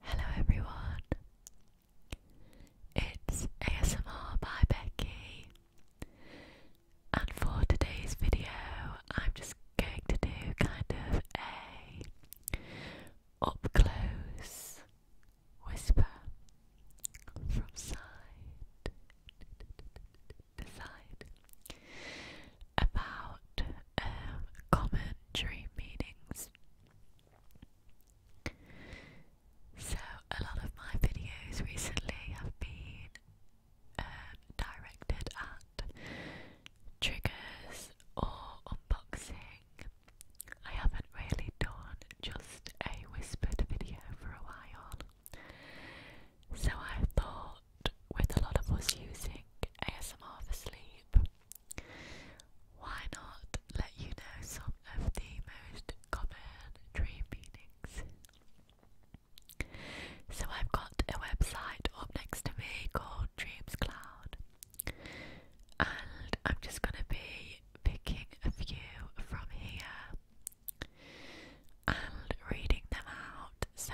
Hello everyone, it's ASMR by Becky, and for today's video, I'm just going to do kind of a up close whisper from side to side about um, common during meetings. So, a lot of my videos recently have been um, directed at triggers or unboxing. I haven't really done just a whispered video for a while, so I thought with a lot of us using ASMR for sleep, why not let you know some of the most common dream meanings? So, I've got a website up next to me called Dreams Cloud, and I'm just going to be picking a few from here and reading them out. So,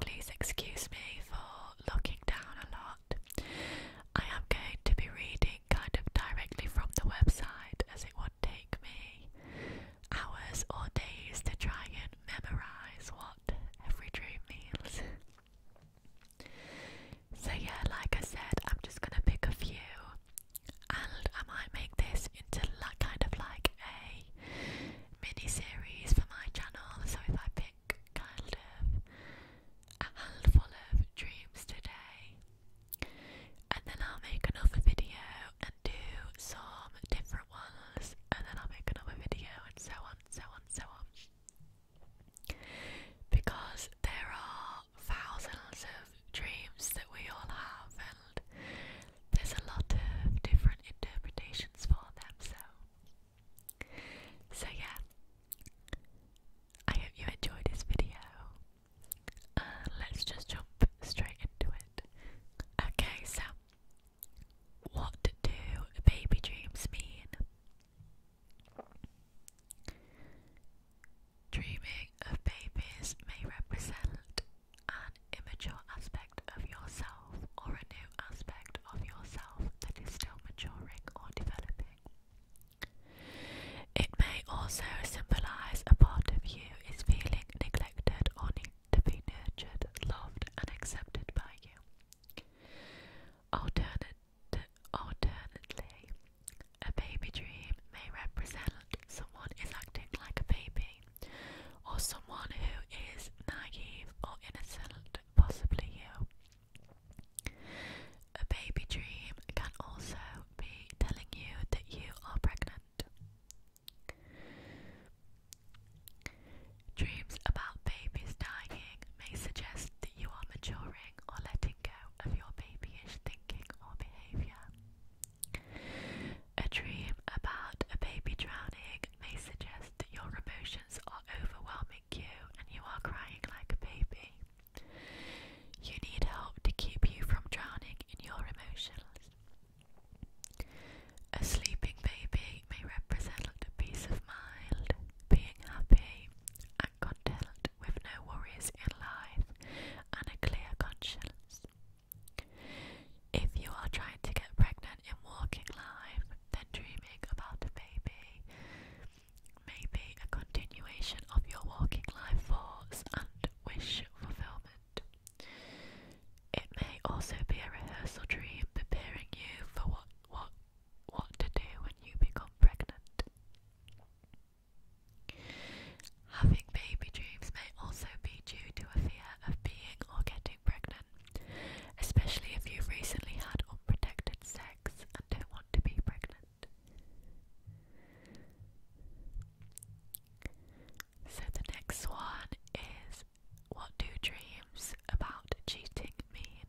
please excuse me for looking down a lot. I am going to be reading kind of directly from the website as it would take me hours or days to try and memorize what every dream means. so, yeah, like I said, I'm just gonna pick a few and I might make this into like kind of like a mini series for my channel. So, if I pick kind of a handful of dreams today, and then I'll make another video and do some different ones, and then I'll make another video, and so on, so on, so on. Because there are thousands of dreams that we all have, and there's a lot of different interpretations for them, so so yeah, I hope you enjoyed this video. Uh, let's just jump straight into it. Okay, so what do baby dreams mean? Dreaming of babies may represent an immature aspect of yourself or a new aspect of yourself that is still maturing or developing. It may also symbolize a part of you is feeling neglected or need to nurtured, loved, and accepted by you. Alternate, a baby dream may represent someone is acting like a baby or someone who is naive or innocent, possibly you. A baby dream can also be telling you that you are pregnant. Dreams about babies dying may suggest that you are maturing or letting go of your babyish thinking or behaviour. A dream about a baby drowning may suggest stressed, your emotions are overwhelming you, and you are crying like a baby. You need help to keep you from drowning in your emotions. A sleeping baby may represent a peace of mind, being happy and content with no worries in life, and a clear conscience. If you are trying to get pregnant in walking life, then dreaming about a baby may be a continuation of your walking life force and wish fulfillment. It may also be a rehearsal dream preparing you for what what what to do when you become pregnant. Having baby dreams may also be due to a fear of being or getting pregnant especially if you've recently had unprotected sex and don't want to be pregnant. So, the next one is What do dreams about cheating mean?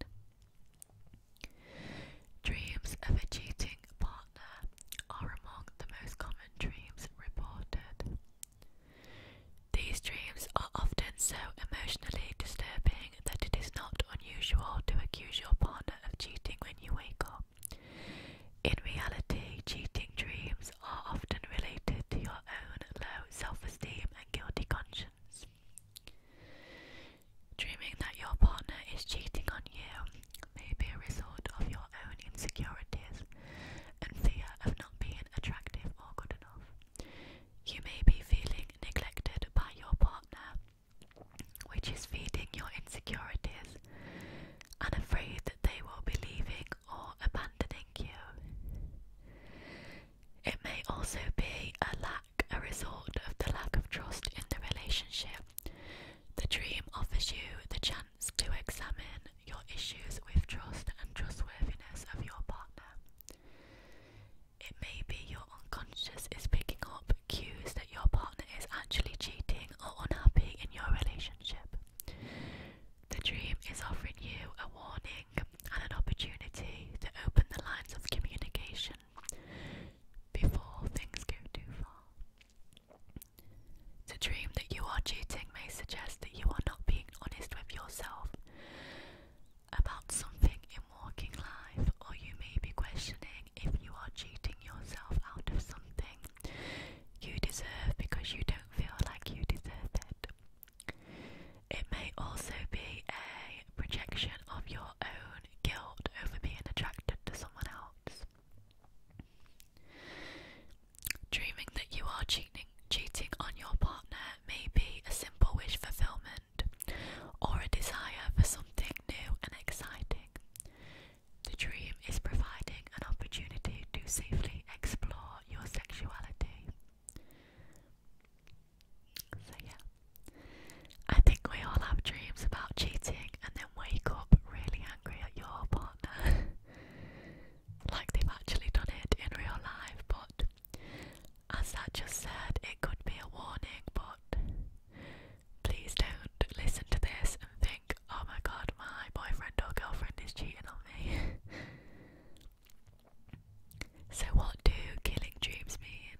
Dreams of a cheating partner are among the most common dreams reported. These dreams are often so emotionally disturbing that it is not unusual to accuse your partner of cheating when you wake up. In reality, cheating dreams are often related to your own low self esteem and guilty conscience. Dreaming that your partner is cheating on you may be a result of your own insecurities and fear of not being attractive or good enough. You may be feeling neglected by your partner, which is feeding your insecurities, and afraid that they will be leaving or abandoning you. It may also be a lack, a result of the lack of trust in the relationship. The dream offers you the chance to examine your issues with trust and trustworthiness of your partner. It may be your unconscious is picking up cues that your partner is actually cheating or unhappy in your relationship. The dream is offering you a warning and an opportunity to open the lines of communication before things go too far. The dream that you are cheating may suggest that you are not being honest with yourself about something in walking life, or you may be questioning if you are cheating yourself out of something you deserve because you don't feel like you deserve it. It may also be a projection of your own guilt over being attracted to someone else. Dreaming that you are cheating, cheating on your partner may be a simple wish fulfillment or a desire for something new and exciting. The dream is providing an opportunity to safely explore your sexuality. So, yeah. I think we all have dreams about cheating and then wake up really angry at your partner. like they've actually done it in real life, but as that just said, it could be a warning. But please don't listen to this and think, oh my god, my boyfriend or girlfriend is cheating on me. so, what do killing dreams mean?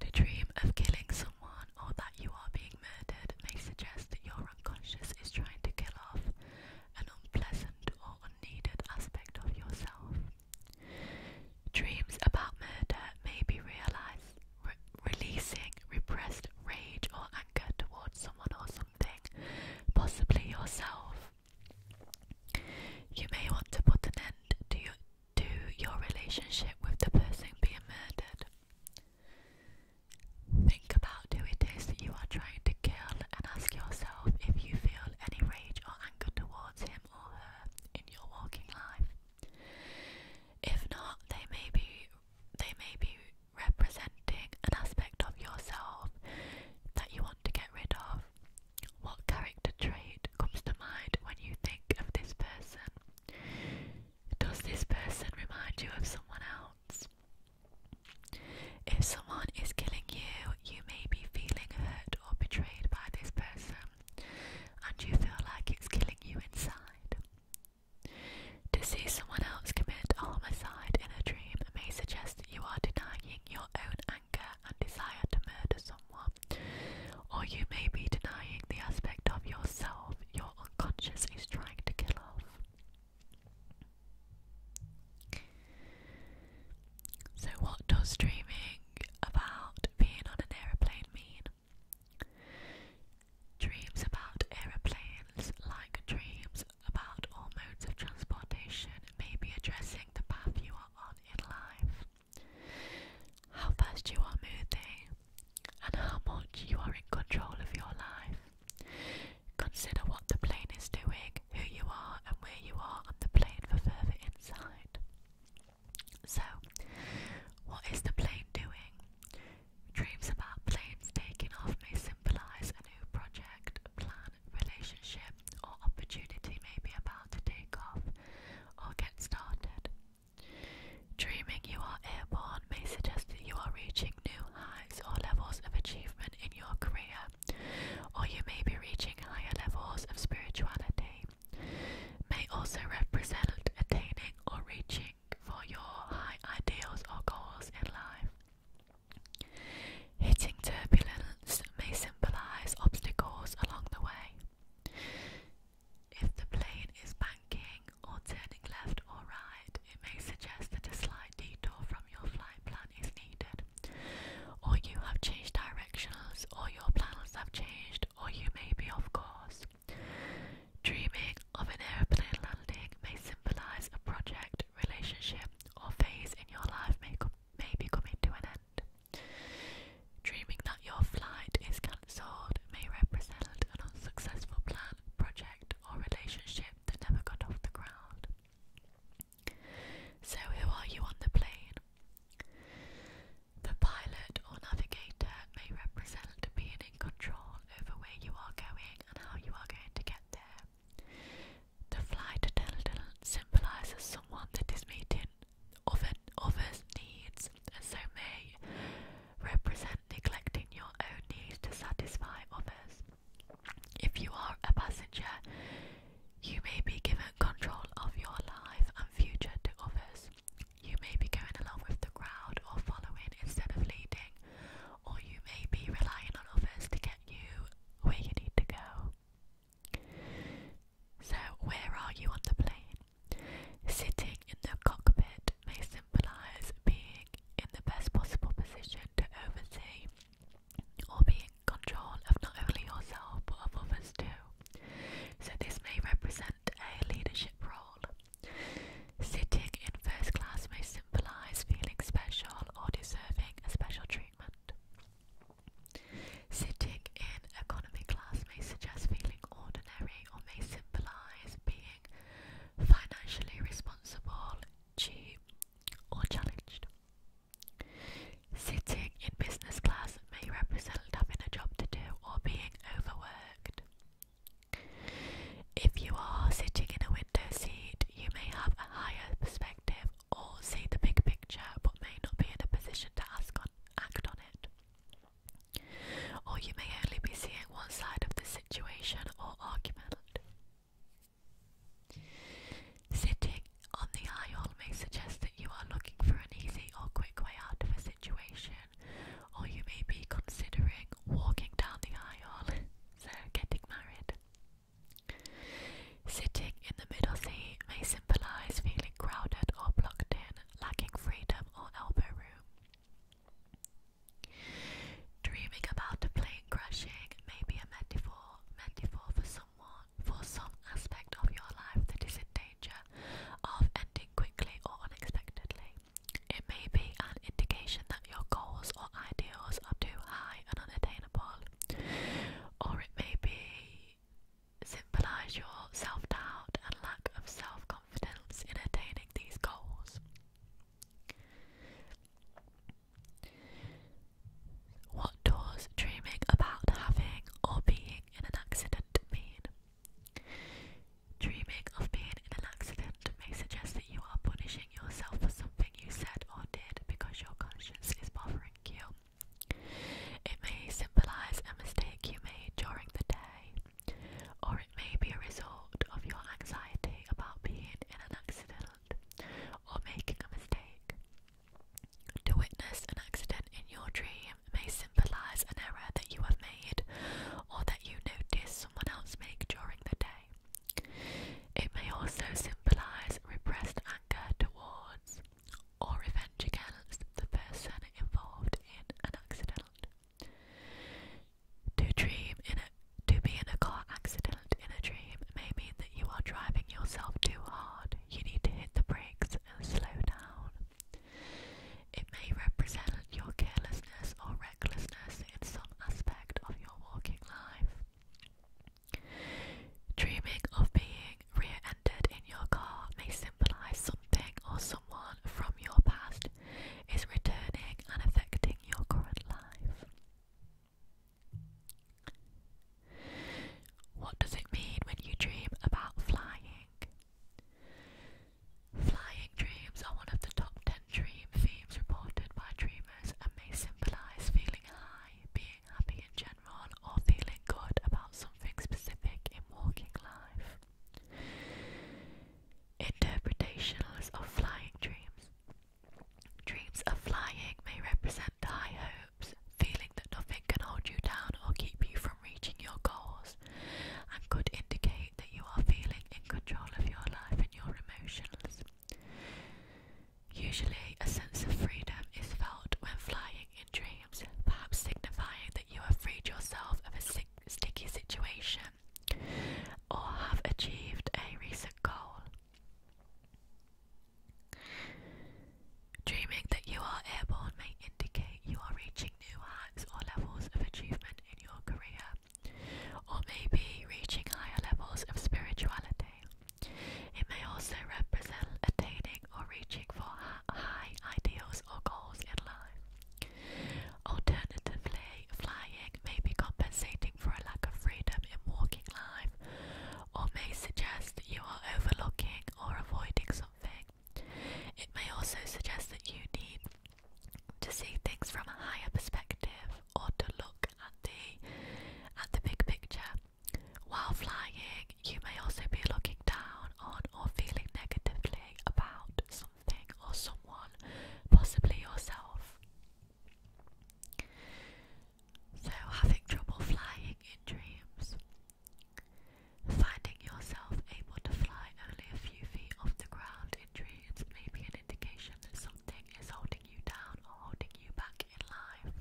The dream of killing someone or that you are being murdered may suggest that your unconscious is trying to kill off an unpleasant or unneeded aspect of yourself. Dreams about murder may be realized, re releasing repressed rage or anger towards someone or something, possibly yourself. You may want to put an end to your, to your relationship with the person being murdered. Think about who it is that you are trying to kill and ask yourself if you feel any rage or anger towards him or her in your walking life. If not, they may be they may be representing an aspect of yourself that you want to get rid of. What character trait comes to mind when you think of this person? Does this person remind you of someone else? If someone is killing you, you may be feeling hurt or betrayed by this person, and you feel like it's killing you inside. To see someone else commit a homicide in a dream may suggest that you are denying your own anger and desire to murder someone, or you may be denying the aspect of yourself your unconscious is trying to kill off. So, what does dreaming about being on an aeroplane mean? Dreams about aeroplanes, like dreams about all modes of transportation, may be addressing the path you are on in life, how fast you are moving, and how much you are in control of your life. Consider what the plane is doing, who you are, and where you are on the plane for further insight. So, what is the plane doing? Dreams about planes taking off may symbolise a new project, plan, relationship, or opportunity may be about to take off or get started. Dreaming you are airborne may suggest that you are reaching new highs or levels of achievement in your career, or you may be reaching higher levels of spirituality. May also represent attaining or reaching for your high ideals or goals in life. Hitting turbulence may symbolize obstacles along the way. If the plane is banking or turning left or right, it, may suggest that a slight detour from your flight plan is needed, or you have changed directions, or your plans have changed, or you may be off course. Dreaming of an airplane landing may symbolize a project, relationship, or phase in your life may, co may be coming to an end. Dreaming that your flight is cancelled may represent an unsuccessful plan, project, or relationship that never got off the ground. So, who are you on the plane? The pilot or navigator may represent being in control over where you are going and how you are going to get there. The flight attendant symbolises someone that is meeting other, others' needs and so may represent neglecting your own needs to satisfy others. If you are a passenger, you may be given control of your life and future to others. You may be going along with the crowd or following instead of leading, or you may be relying on others to get you where you need to go. So, where are you on the plane? Sitting in the cockpit may symbolize being in the best possible position to oversee or be in control of not only yourself but of others too. So this may represent a leadership role. Sitting in first class may symbolise feeling special or deserving a special treatment. Sitting in economy class may suggest feeling ordinary or may symbolise being financially responsible cheap or challenged. Sitting in business class may represent having a job to do or being overworked. If you are sitting in a window seat, you may have a higher perspective or see the big picture but may not be in a position to act on it. Or you may only be seeing one side of the Sitting on the aisle may suggest that you are looking for an easy or quick way out of a situation, or you may be considering walking down the aisle, so getting married. Sitting in the middle seat may symbolize feeling crowded or blocked in, lacking freedom or elbow room. Dreaming about a plane crashing may be a metaphor, metaphor for someone, for some aspect of your life that is in danger of ending quickly or unexpectedly. It may be an indication that your goals or ideals are too high and unattainable, or it may be symbolize your self doubt and lack of self confidence in attaining these goals. What does dreaming about having or being in an accident mean? Dreaming of being in an accident may suggest that you are punishing yourself for something you said or did because your conscience is bothering you. It may symbolize a mistake you made during the day or it may be a result of your anxiety about being in an accident or making a mistake. To witness an accident in your dream may symbolize an error that you have made or that you notice someone else make during the day. It may also symbolize repressed anger towards or revenge against the person involved in an accident. To dream in a to be in a car accident in a dream may mean that you are driving yourself too hard. You need to hit the brakes and slow down. It may represent your carelessness or recklessness in some aspect of your walking life. Dreaming of being rear ended in your car may symbolize something or someone from your past is returning and affecting your current life. What does it mean when you dream about flying? Flying dreams are one of the top 10 dream themes reported by dreamers and may symbolize feeling high, being happy in general, or feeling good about something specific in walking life. Interpretations of flying dreams. Dreams of flying may represent high hopes, feeling that nothing can hold you down or keep you from reaching your goals, and could indicate that you are feeling in control of your life and your emotions. Usually, a sense of freedom is felt when flying in dreams, perhaps signifying that you have freed yourself of a sticky situation or have achieved a recent goal. Dreaming that you are airborne may indicate you are reaching new heights or levels of achievement in your career, or maybe reaching higher levels of spirituality. It may also represent attaining or reaching for high ideals or goals in life. Alternatively, flying may be compensating for a lack of freedom in walking life, or may suggest that you are overlooking or avoiding something. It may also suggest that you need to see things from a higher perspective or to look at the at the big picture. While flying, you may also be looking down on or feeling negatively about something or someone, possibly yourself. So, having trouble flying in dreams. Finding yourself able to fly only a few feet off the ground in dreams may be an indication that something is holding you down or holding you back in life,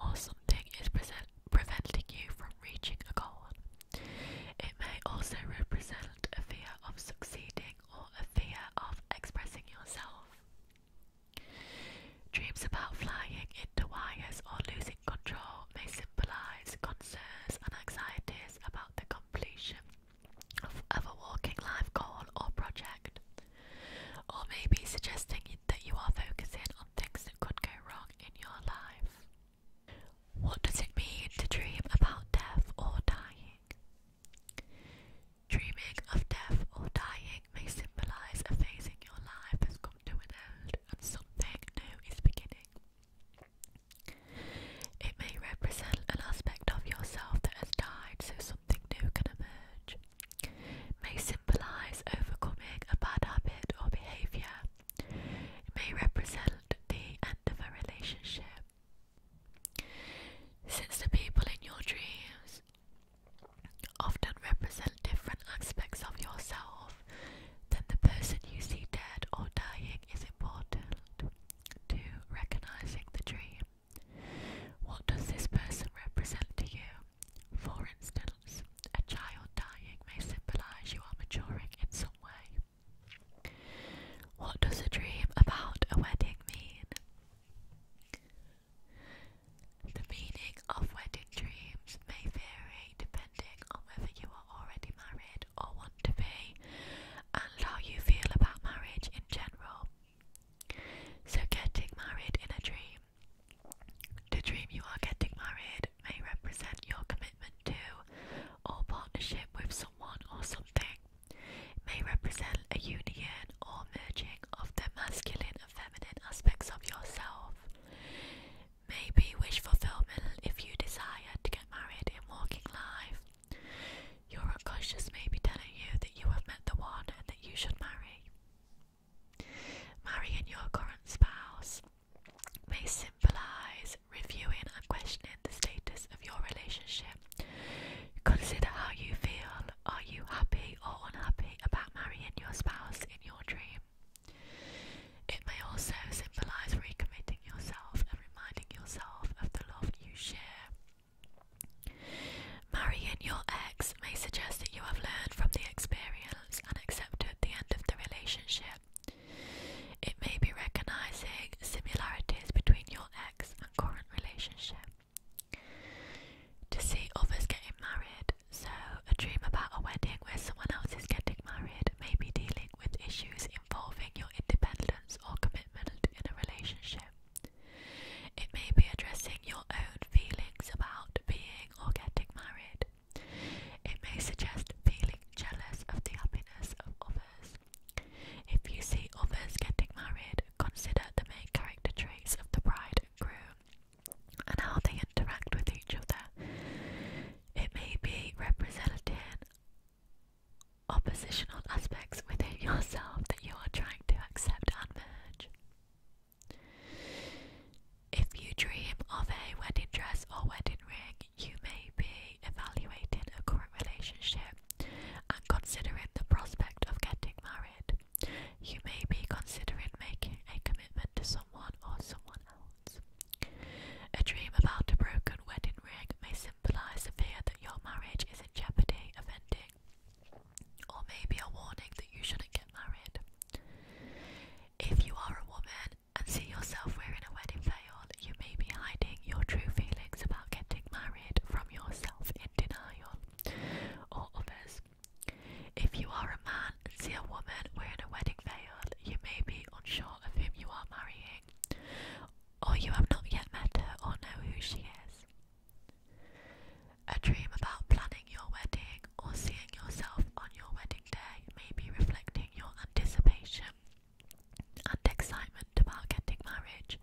or something is preventing you from reaching a goal. It may also represent a fear of succeeding or a fear of expressing yourself. Dreams about flying into wires or losing control may symbolize concerns and anxieties about the completion of, of a walking life goal or project, or maybe suggesting that you are focusing on things that could go wrong in your life. What does it mean to dream about death or dying? Dreaming of death or dying may symbolize a phase in your life has come to an end and something new is beginning. It may represent an aspect of yourself that has died so something new can emerge. May symbolize overcoming a bad habit or behavior it may represent the end of a relationship. Since the people in your dreams often represent different aspects of yourself, then the person you see dead or dying is important to recognizing the dream. What does this person represent to you? For instance, a child dying may symbolize you are maturing in some way. What does a dream about a wedding mean? The meaning of wedding dreams may vary depending on whether you are already married or want to be, and how you feel about marriage in general. So, getting married in a dream. The dream you are getting married may represent your commitment to or partnership with someone someone or something. may represent a union or merging of the masculine and feminine aspects of yourself. Maybe wish fulfillment if you desire to get married in walking life. Your unconscious may be telling you that you have met the one and that you should marry. Marrying your current spouse may symbolize reviewing and questioning the status of your relationship. Consider how you feel. Are you happy or unhappy about marrying your spouse in your dream? It may also symbolize recommitting yourself and reminding yourself of the love you share. Marrying your ex may suggest that you have learned from the experience and accepted the end of the relationship. It may be recognizing similarities between your ex and current relationship. To see others getting married, so a dream about a wedding where someone else is getting married may be dealing with issues involving your independence or commitment in a relationship. It may be addressing your own feelings about being or getting married. It may suggest feeling jealous of the happiness of others. If you see others getting married, consider the main character traits of the bride and groom and how they interact with each other. It may be representing oppositional aspects within yourself that you are trying to accept and merge. If you dream of a wedding dress or wedding ring, you may be evaluating a current relationship and considering the prospect of getting married. You may be considering making a commitment to someone or someone else. A dream about a broken wedding ring may symbolize the fear that your marriage is in jeopardy of ending, or maybe a warning that you shouldn't get married. If you are a woman and see yourself wearing a wedding veil, you may be hiding your true feelings about getting married from yourself in denial or others. If you are a man and see a woman wearing a wedding veil, you may be unsure of whom you are marrying, or you have not yet met her or know who she is. A dream about planning your wedding or seeing yourself on your wedding day may be reflecting your anticipation and excitement about getting married,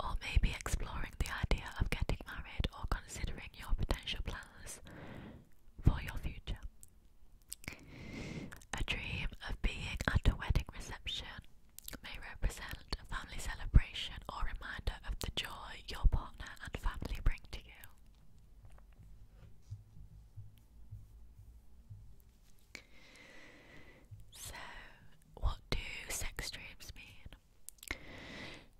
or maybe exploring the idea of getting married or considering your potential plans for your future. A dream of being at a wedding reception may represent a family celebration or reminder of the joy your partner and family bring to you. So, what do sex dreams mean?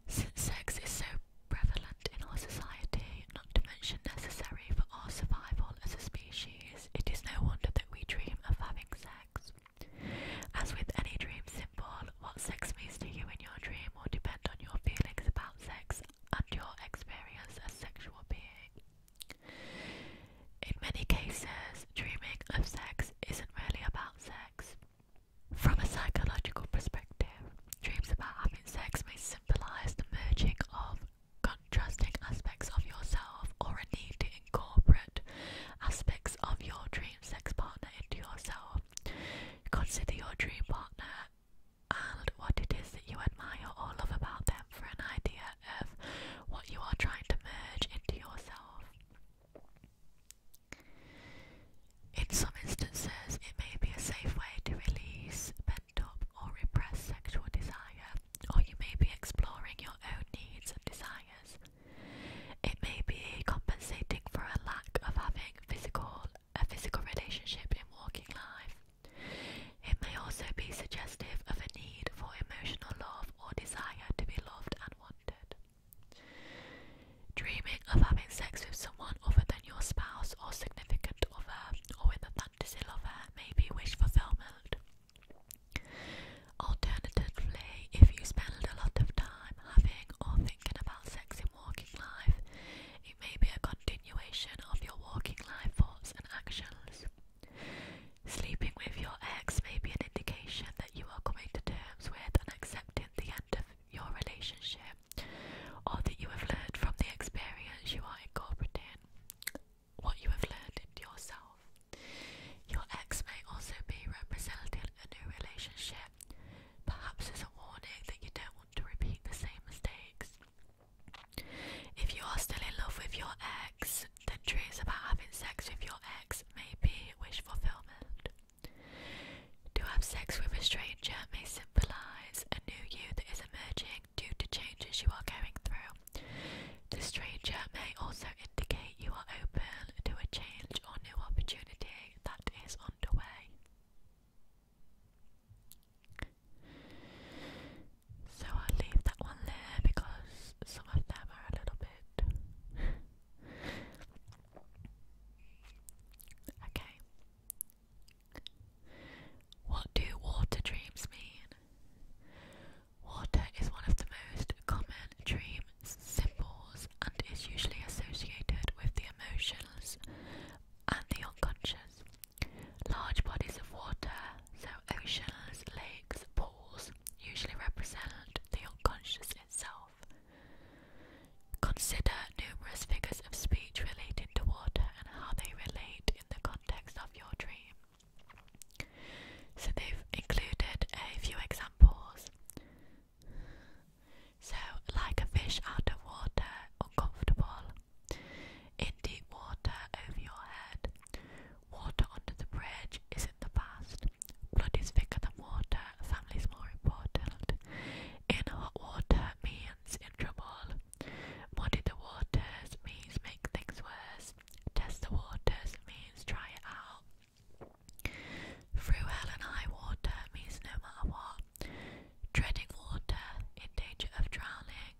Since sex is so prevalent in our society, not to mention necessary for our survival as a species, it is no wonder that we dream of having sex. As with any dream symbol, what sex means to you in your dream will depend on your feelings about sex and your experience as a sexual being. In many cases, dreaming of sex isn't really about sex. From a psychological perspective, dreams about having sex may symbolize the merging of contrasting aspects of yourself or a need to incorporate aspects of your dream sex partner into yourself. Consider your dream partner and what it is that you admire or love about them for an idea of what you are trying to merge into yourself. In some instances, it may be a safe way to release pent up or repressed sexual desire, or you may be exploring your own needs and desires. It may be compensating for a lack of having physical a physical relationship in working life. It may also be suggestive of a need for emotional love or desire to be loved and wanted. Dreaming of having sex with someone other than your spouse or significant other or with a fantasy lover may be wish fulfillment. Alternatively, if you spend a lot of time having or thinking about sex in walking life, may be a continuation of your walking life thoughts and actions. Sleeping with your ex may be an indication that you are coming to terms with and accepting the end of your relationship, or that you have learned from the experience you are incorporating what you have learned into yourself. Your ex may also be representing a new relationship, perhaps as a warning that you don't want to repeat the same mistakes. If you are still in love with your ex, then dreams about having sex with your ex may be wish fulfillment. To have sex with a stranger may symbolise a new you that is emerging due to changes you are going through. The stranger may also indicate you are open to a change or new opportunity that is underway. So i leave that one there because some of them are a little bit. okay. What do water dreams mean? Water is one of the most common dream symbols and is usually associated with the emotions and the unconscious. Large bodies of water, so oceans, lakes, pools, usually represent the unconscious itself. Consider numerous figures of speech related to water and how they relate in the context of your dream. So they've included a few examples. So, like a fish out of water, uncomfortable in deep water over your head. Water under the bridge is in the past. Blood is thicker than water, family's more important. In hot water means in trouble. Muddy the waters means make things worse. Test the waters means try it out. Through hell and high water means no matter what. Treading water, in danger of drowning,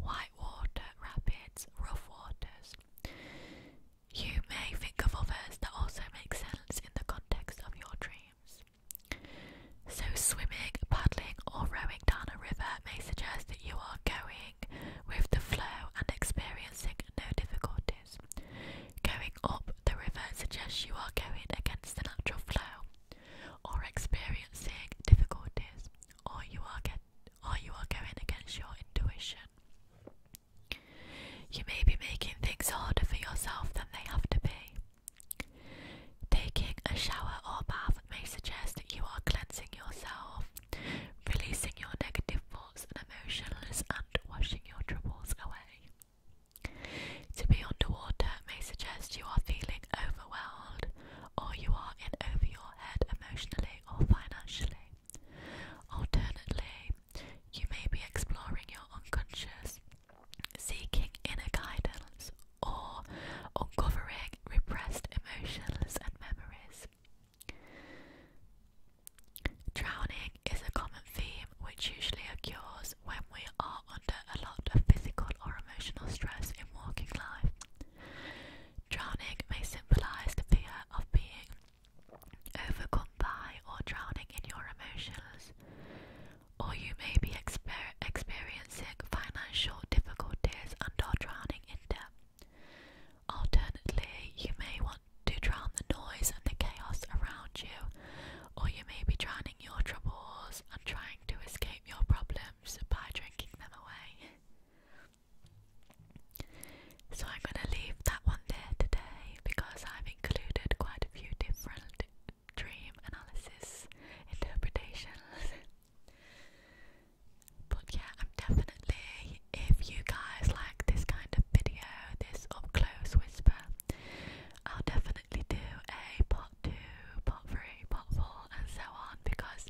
white water, rapids, rough waters. You may think of others that also make sense in the context of your dreams. So, swimming, paddling, or rowing down a river may suggest that you are going with the flow and experiencing no difficulties. Going up the river suggests you are going against the natural flow or experiencing difficulties, or you are get or you are going against your intuition. You may be making things harder for yourself than they have to be. Taking a shower or bath may suggest that you are cleansing yourself, releasing your negative thoughts and emotionless, and washing your troubles away. To be underwater may suggest you are feeling overwhelmed or you are in over your head emotionally or financially. Alternatively, you may be exploring your unconscious, seeking inner guidance, or uncovering repressed emotions and memories. Drowning is a common theme which usually occurs when we are under a lot of physical or emotional stress in walking life. Drowning may symbolize the fear of being overcome by or drowning in your emotions, or you may be experiencing financial difficulties under drowning in debt. Alternatively, you may want to drown the noise and the chaos around you or you may be drowning your troubles and trying to escape your problems by drinking them away. So I'm going to leave that one there today because I've included quite a few different dream analysis interpretations. but yeah, I'm definitely, if you guys like this kind of video, this up close whisper, I'll definitely do a part two, part three, part four, and so on because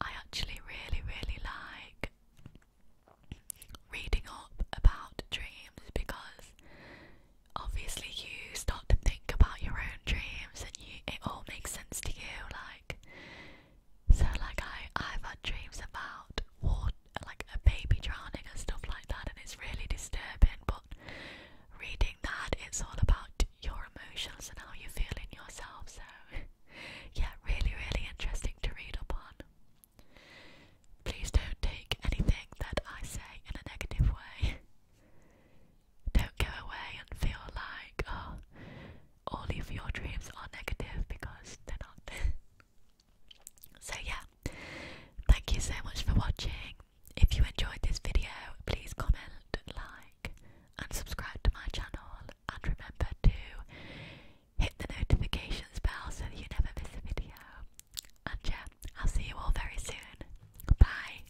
I actually really, really like reading up about dreams because obviously you start to think about your own dreams and you it all makes sense to you like so like I I've had dreams about water like a baby drowning and stuff like that and it's really disturbing but reading that it's all about your emotions and how you feel in yourself. So, yeah, really, really interesting to read up Please don't take anything that I say in a negative way. Don't go away and feel like, oh, all of your dreams are negative because they're not. so, yeah, thank you so much for watching. If you enjoyed this video, please comment, like, and subscribe to my channel. And remember to hit the notifications bell so that you never miss a video. And yeah, I'll see you all very soon. Bye.